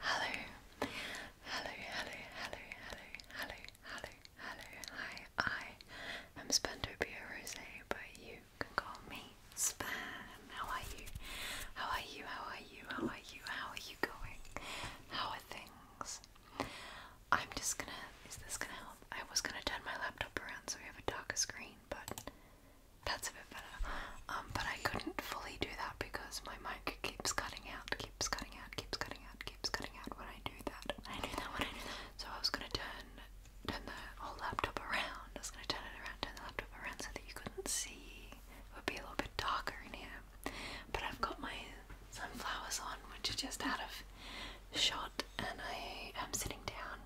Hello, hello, hello, hello, hello, hello, hello, hello, hi, I am Spendopia Rose, but you can call me Span. How are you? How are you? How are you? How are you? How are you going? How are things? I'm just gonna, is this gonna help? I was gonna turn my laptop around so we have a darker screen, but that's a bit better. Um, but I couldn't fully do that because my mic keeps cutting out, keeps cutting out, keeps cutting out, keeps cutting out when I do that. I do that, when I do that. So I was gonna turn turn the whole laptop around. I was gonna turn it around, turn the laptop around so that you couldn't see. It would be a little bit darker in here. But I've got my sunflowers on, which are just out of shot, and I am sitting down,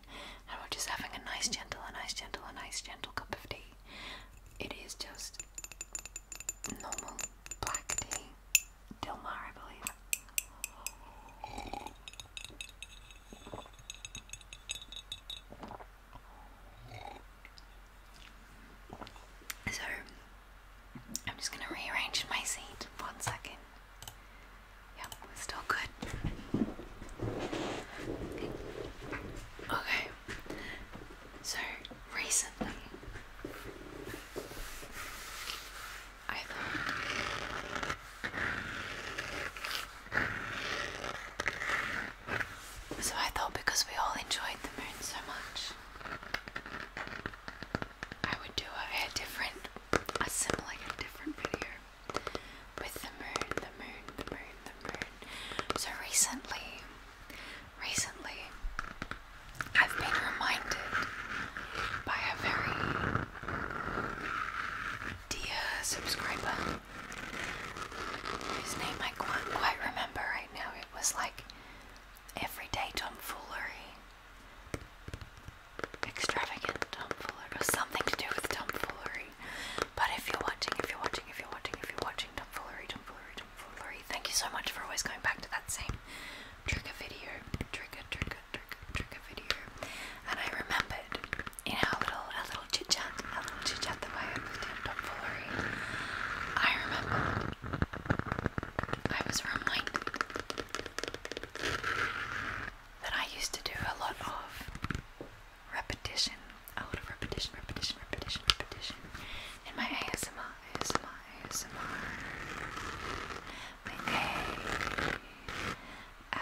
and we're just having a nice, gentle, a nice, gentle, a nice, gentle cup of tea. It is just normal black tea. Dilmar, I believe. So, I'm just going to rearrange my seat one second. Yep, we're still good. Okay. So recently, I thought so I thought because we all enjoyed the moon so much, I would do a, different, a similar, a different video with the moon, the moon, the moon, the moon. So recently, Recently, I've been reminded by a very dear subscriber whose name I can't quite remember right now. It was like Everyday Tomfoolery, Extravagant Tomfoolery, or something to do with Tomfoolery. But if you're watching, if you're watching, if you're watching, if you're watching tomfoolery, tomfoolery, tomfoolery, thank you so much for always going back to that same trigger video, trigger, trigger, trigger, trigger video. And I remembered in our a our little chit chat, our little chit chat that I had with Tim tomfoolery, I remembered I was reminded that I used to do a lot of repetition, a lot of repetition, repetition, repetition, repetition in my ASMR, ASMR, ASMR, my A-S-M-R. I'm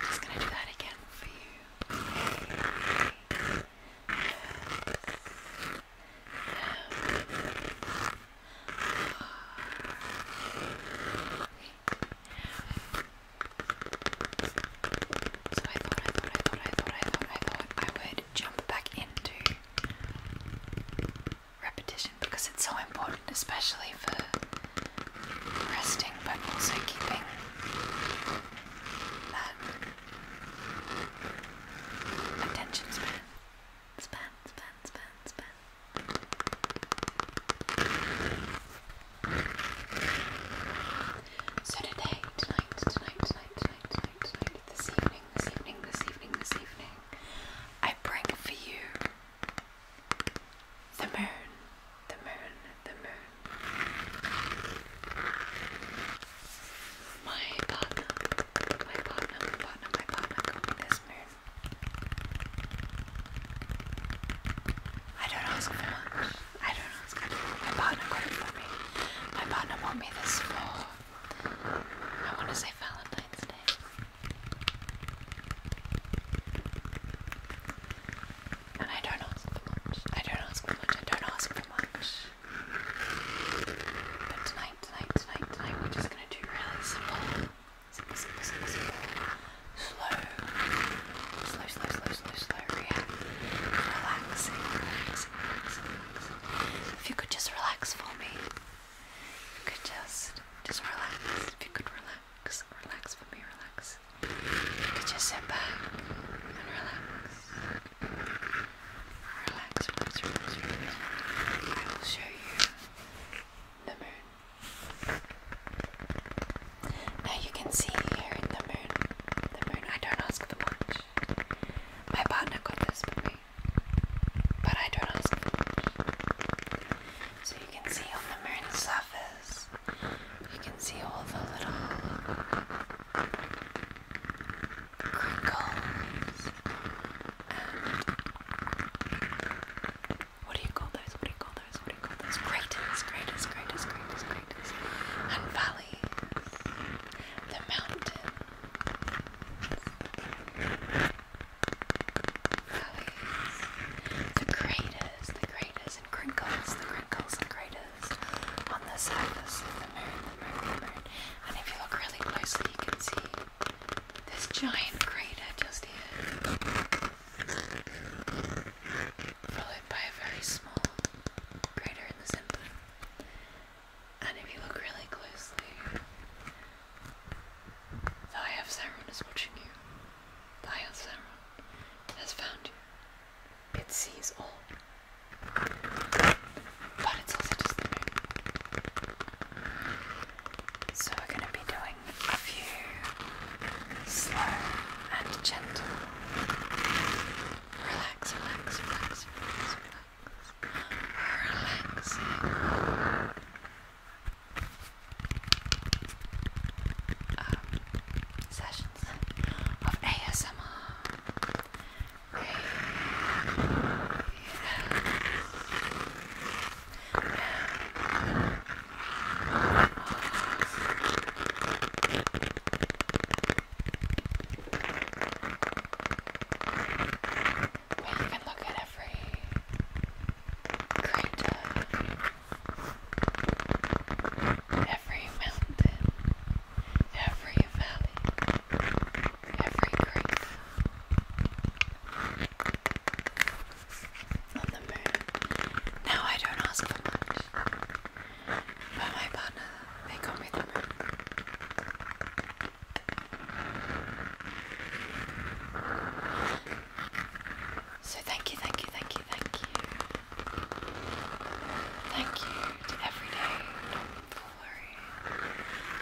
just gonna do that again for you. A -S -M -R. So I thought, I thought, I thought, I thought, I thought, I would jump back into repetition because it's so important, especially for resting but also keeping that attention span. Span, span, span, span. So tonight, tonight, tonight, tonight, tonight, tonight, this evening, this evening, this evening, this evening, I bring for you the moon, the moon, the moon. My partner, my partner, partner, my partner this moon I don't ask for much. I don't ask for much. My partner got it for me. My partner bought me this for, I want to say Valentine's Day. And I don't ask for much. I don't ask for much. I don't ask for much. But tonight, tonight, tonight, tonight, we're just going to do really simple simple, simple, simple, simple, slow, slow, slow, slow, slow, slow, yeah. relaxing, relaxing, relaxing, relaxing. If you could just relax for me, if you could just, just relax, if you could relax, relax for me, relax. If you could just sit back and relax. Relax, relax, relax, relax. I will show you the moon. Now you can see here in the moon. The moon, I don't ask for much. My partner got this for But I don't ask So you can see on the moon's surface, you can see all the little crinkles what do you call those? What do you call those? What do you call those? Craters, craters, craters, craters, craters. And valleys. The mountains. Valleys. The craters, the craters and crinkles, the crinkles and craters on the surface of the moon, the moon, the moon. And if you look really closely you can see this giant crater just here followed by a very small crater in the center. And if you look really closely, the Eye of Sauron is watching you. The Eye of Sauron has found you. It sees all. But it's also just the moon. So we're going to be doing a few slow and gentle. Relax, relax, relax, relax, relax. Relaxing. Um, sessions of ASMR. We even look at every crater, every mountain, every valley, every creek. Now I don't ask for much, but my partner, they got me the moon. So thank you, thank you, thank you, thank you. Thank you to everyday tomfoolery.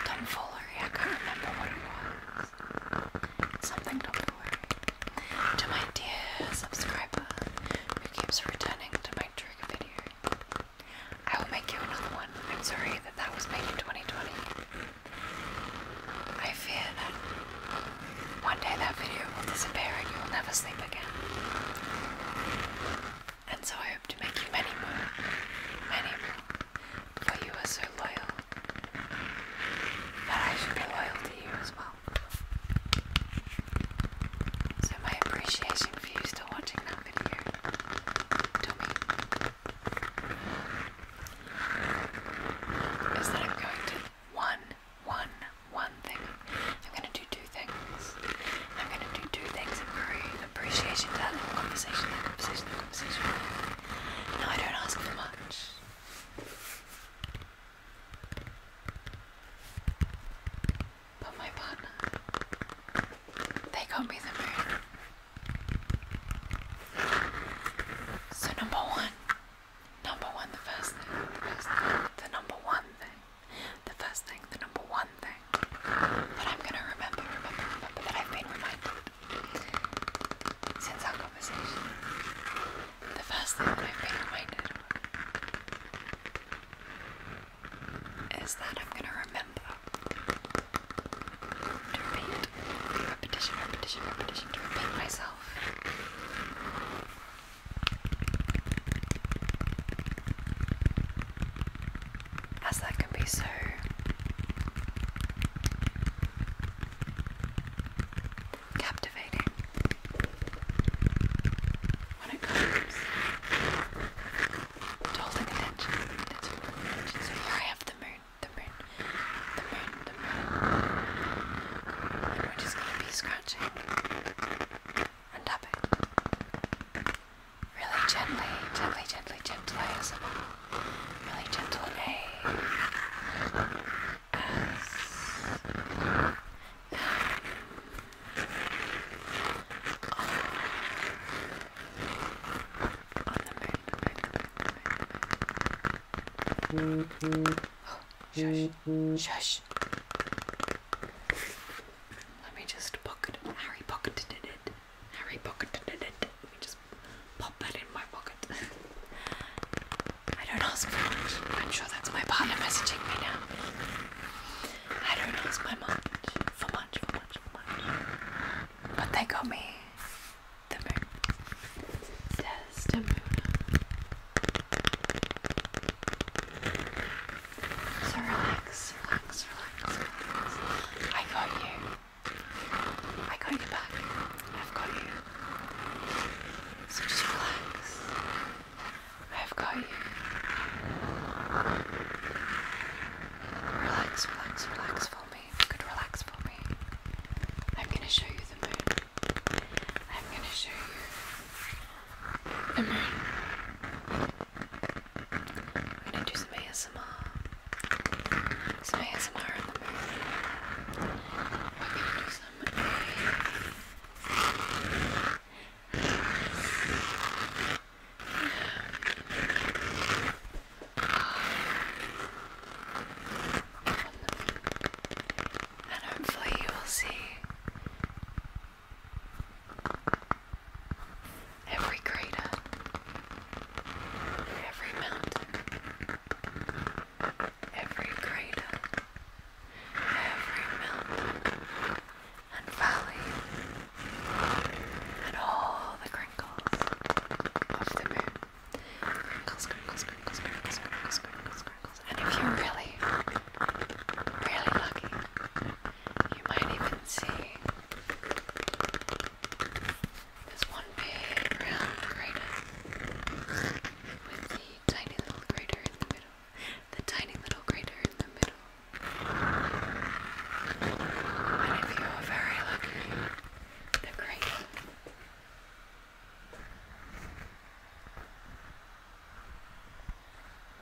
Tomfoolery, I can't remember what it something to worry. To my dear subscriber who keeps returning to my trigger video, I will make you another one. I'm sorry that that was made in 2020. I fear that one day that video will disappear and you will never sleep again. And so I hope to make you many more, many more, for you are so loyal. But I should be loyal to you as well. So my appreciation for you still watching that video to is that I'm going to one, one, one thing. I'm going to do two things. I'm going to do two things in Korean. Appreciation that conversation, that conversation, that conversation. No, I don't ask for much. But my partner, they got me the moon. So number one, number one, the first thing, the first thing, the number one thing, the first thing, the number one thing that I'm gonna remember, remember, remember that I've been reminded since our conversation. The first thing that I've been reminded of is that I'm going to remember to repeat, repetition, repetition, repetition, repeat myself. As that can be so captivating when it comes to holding attention. That's holding attention. So here I have the moon, the moon, the moon, the moon. we're just gonna be scratching and tapping. Really gently, gently, gently, gently as well. Really gentle. A shush, shush. Let me just pocket Harry pocketed it. Harry pocketed it. Let me just pop that in my pocket pocket. I don't ask for much. I'm sure that's my partner messaging me now. I don't ask my much for much, for much, for much. But they got me the moon. Desdemona. So relax, relax, relax, relax. I got you. I got you back. I've got you. So just relax. I've got you. Relax, relax, relax for me. could relax for me. I'm gonna show you the moon. I'm gonna show you I'm gonna do some ASMR. Some ASMR the moon. gonna do some and hopefully, you will see every crater, every mountain, every crater, every mountain and valley, and all the crinkles of the moon. Crinkles, crinkles, crinkles, crinkles, crinkles, crinkles, crinkles. And if you're really, really lucky, you might even see there's one big round crater with the tiny little crater in the middle. The tiny little crater in the middle. And if you are very lucky, the crater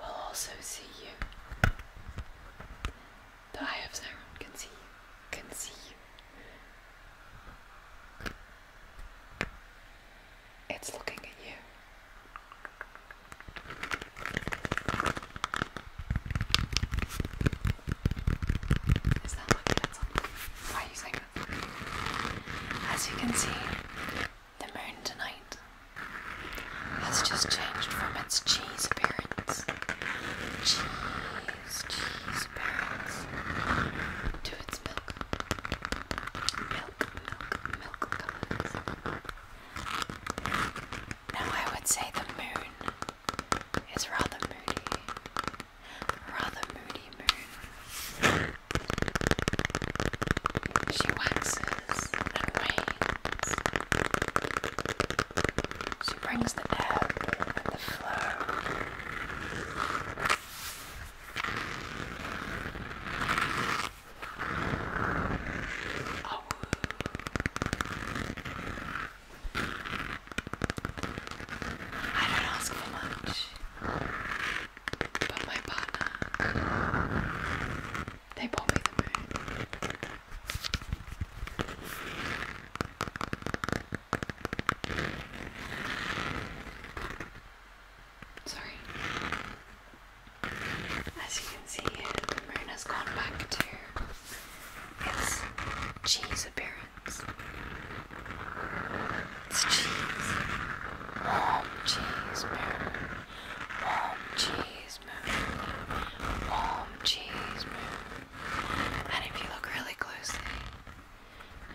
will also see you. The Eye of Siren can see you. Can see you. It's looking at you. Is that lucky that's on? Why are you saying that? As you can see, the moon tonight has just changed from its cheese appearance. Cheese, cheese appearance to its milk now I would say the moon is rather moody. Rather moody moon. She waxes and wanes. She brings the air and the flow. I don't ask for much, but my partner, they bought me the moon. Sorry. As you can see, the moon has gone back to its cheese appearance. It's cheese. Warm cheese moon. Warm cheese moon. Warm cheese moon. And if you look really closely,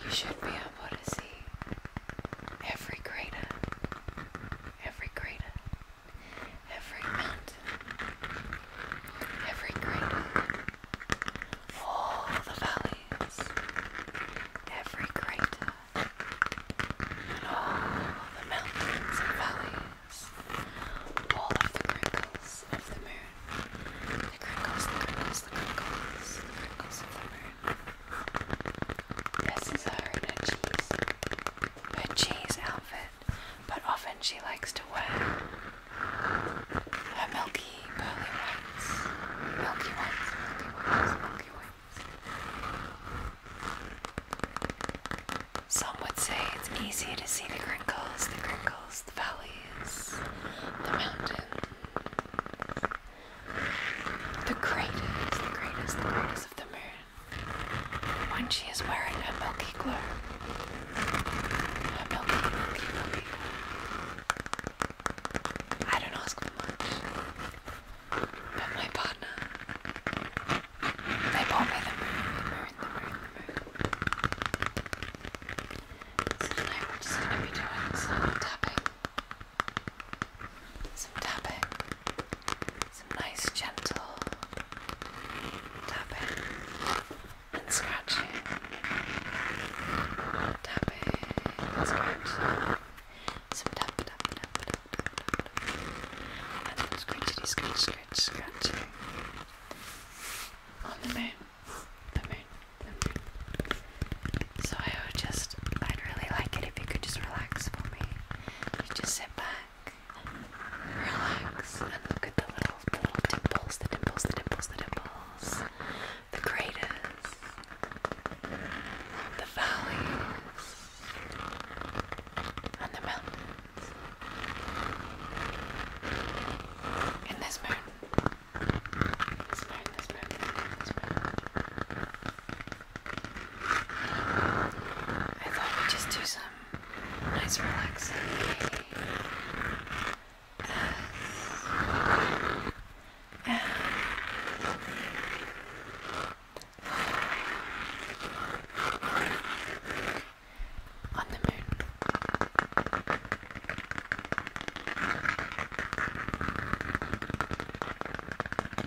you should be able to see every crater, every crater, every mountain, every crater, all the valleys, every crater, all the mountains and valleys, all of the crinkles of the moon, the crinkles, the crinkles, the crinkles, the crinkles of the moon. This is her in her cheese, outfit, but often she likes to wear her milky pearly whites, milky white, milky white, milky whites. Some would say it's easy to see the crinkles, the crinkles, the valleys, the mountains the greatest, the greatest, the greatest of the moon when she is wearing her milky glow. Her milky, milky, milky I don't ask much, but my partner, they bought me the moon, the moon, the moon. So tonight we're just going to be doing some tapping some tapping, some nice gentle tapping and scratching, tapping scratching, some tap tap tap tap tap tap, tap. and some scratchy scratch scratch scratching on the moon, the moon, the moon. So I would just, I'd really like it if you could just relax for me. You just sit back, relax, and look at the little, the little dimples, the dimples, the dimples, the dimples, the craters, the valleys, and the mountains. In this moon. This moon, this moon, this moon, this moon. I thought we'd just do some nice relaxing as on the moon.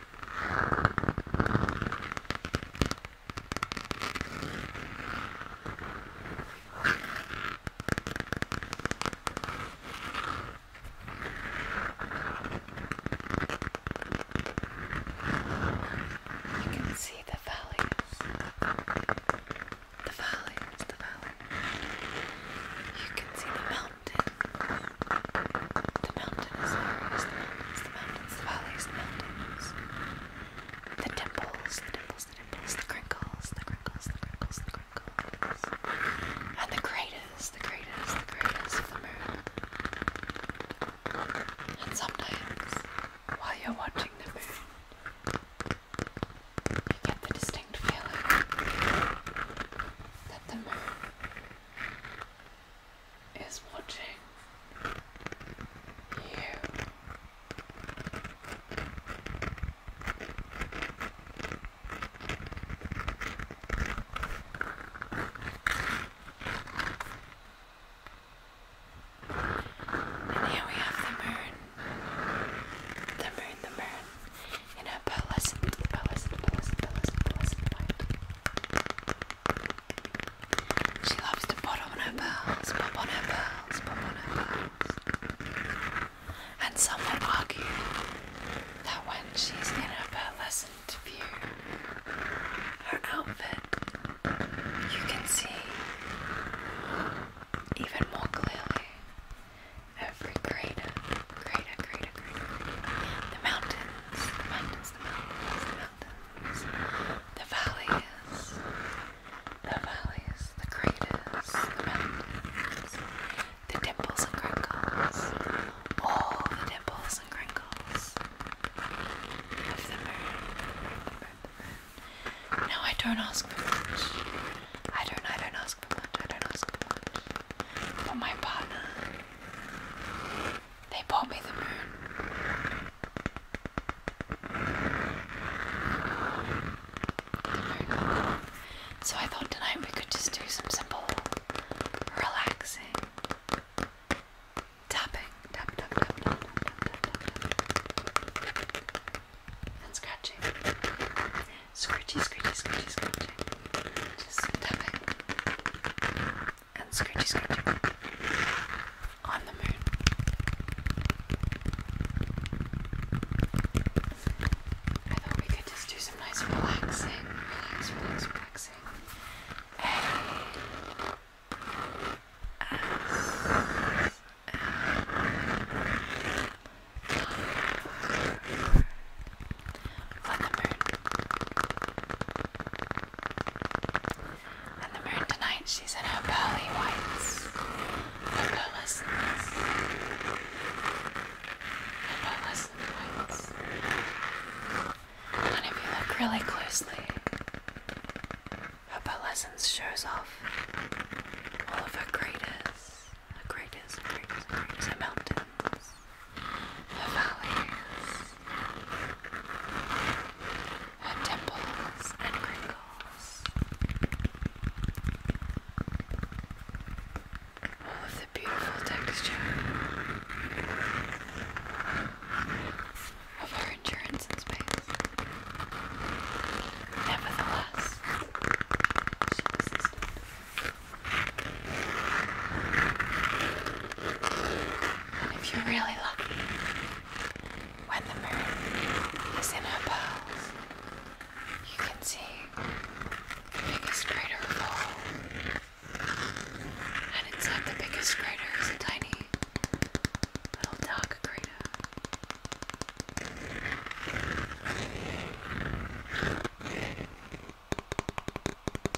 You can see the valleys, the valleys, the valleys. You can see the mountains. The mountains, the mountains, the mountains, the valleys, the mountains. The dimples, the dimples, the dimples, the crinkles, the crinkles, the crinkles, the crinkles. And the craters, the craters, the craters of the moon. And sometimes, while you're watching the moon, you get the distinct feeling that the moon is watching you. And here we have the moon. The moon, the moon. In her pearlescent, pearlescent, pearlescent, pearlescent, pearlescent light. She loves to put on her pearls, pop on her pearls, pop on her pearls. And some would argue that when she's in her pearlescent view, her outfit, you can see even more clearly every greater, greater, greater, greater, greater. The mountains, mountains, the mountains, the mountains the valleys, the valleys, the craters, the mountains, the dimples and crinkles, all the dimples and crinkles No, I don't ask for much. I don't. I don't ask for much. I don't ask for much. But my partner. They bought me the moon. So I thought tonight we could just do some simple, relaxing tapping. Tap, tap, tap, tap, tap, tap, tap, And scratching. Scratchy, scratchy, scratchy, scratching. Just tapping and scratchy scratchy on the moon. I thought we could just do some nice relaxing, relax, relax, relaxing. A S M R and the moon tonight, she's in her pearly whites. Opalescence. Opalescent whites. And if you look really closely, her pearlescence shows off all of her craters. Her craters, her craters, mountains her valleys, her temples and crinkles, all oh, of the beautiful texture of her endurance in space. Nevertheless, she persisted. And if you're really lucky, when the moon is in her pearls, you can see the biggest crater of all. And inside the biggest crater is a tiny little dark crater.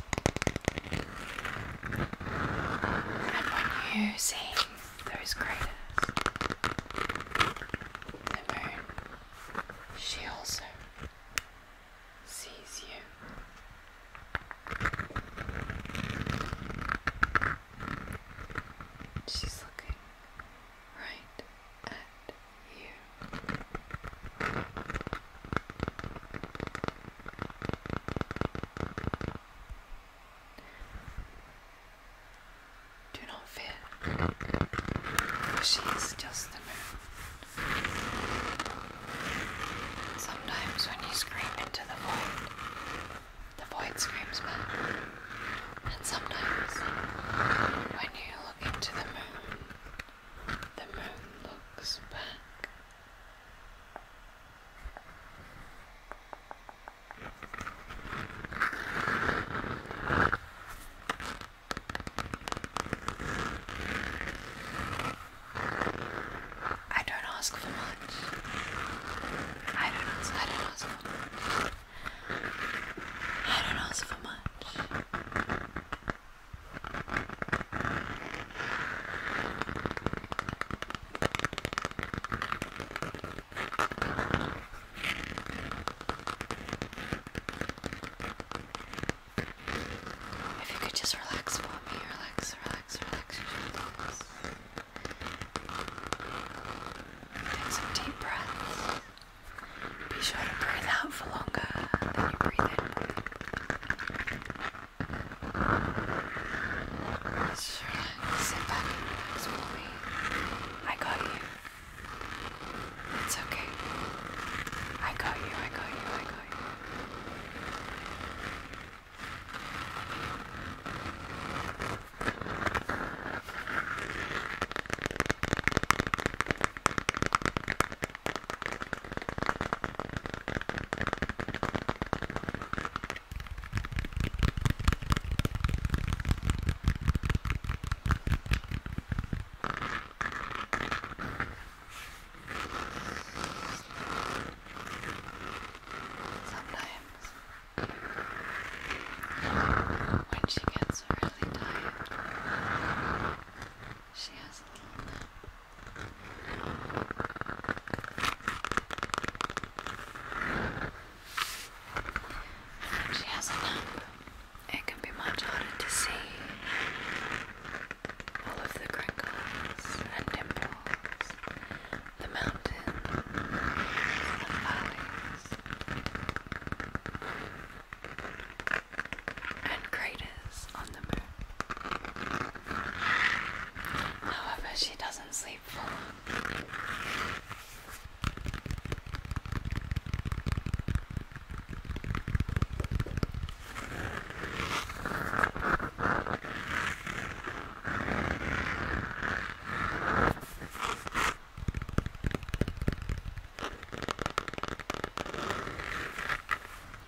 And when you sing those craters, the moon, she also sees you. She's looking right at you. Do not fear, for she is just the moon. Sometimes when you scream into the void, the void screams back. And sometimes when you look into the moon, the moon looks back. I don't ask for much. I don't ask. I don't ask for much. I don't ask for much. If you could just relax for me, relax, relax, relax, relax. Take some deep breaths. Be sure to breathe out for longer than you breathe in. Sure. Sit back and relax for me. I got you. It's okay. I got you, I got you, I got you. Sometimes, when she gets really tired, she has a little nap. When she has it can be much harder to see all of the crinkles and dimples, the mountains and valleys and craters However, she doesn't sleep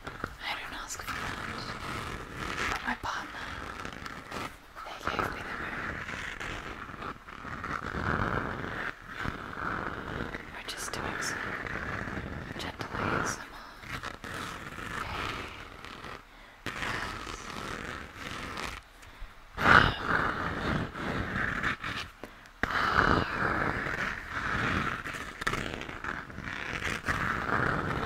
I don't ask for much, but my partner, they gave me the moon. We're just doing some gentle ASMR. Hey, Yes.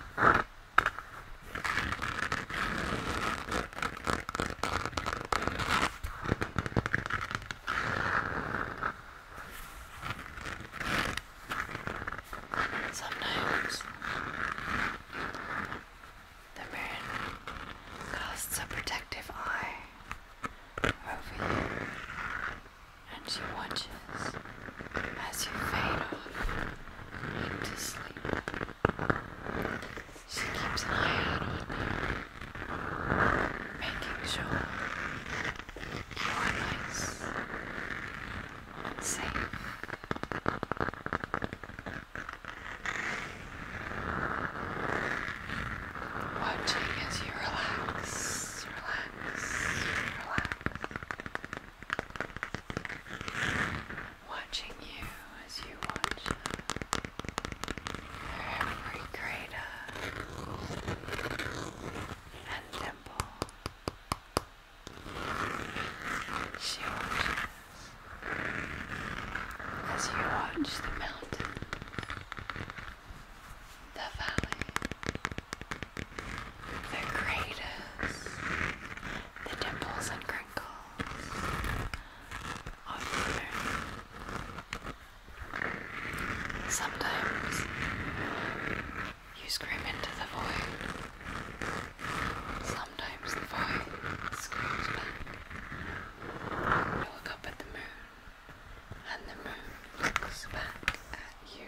Sometimes the moon casts a protective eye over you and she watches as you fade off into sleep. She keeps an eye out on you, making sure you are nice and safe. Watching as you relax, relax, relax watching you as you watch every crater uh, and dimple. She watches as you watch the mountains, the valley, the greatest, the dimples and crinkles of the moon. Sometimes you scream into the void. Sometimes the void screams back. You look up at the moon, and the moon looks back at you.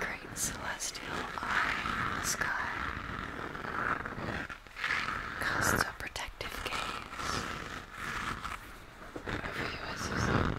Great celestial eye in the sky casts a protective gaze over you as you sleep.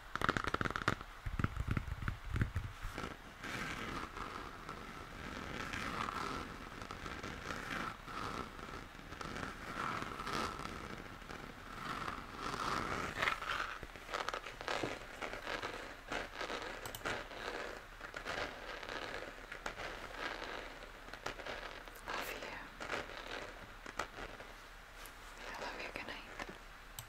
Love you. I love you. Good night.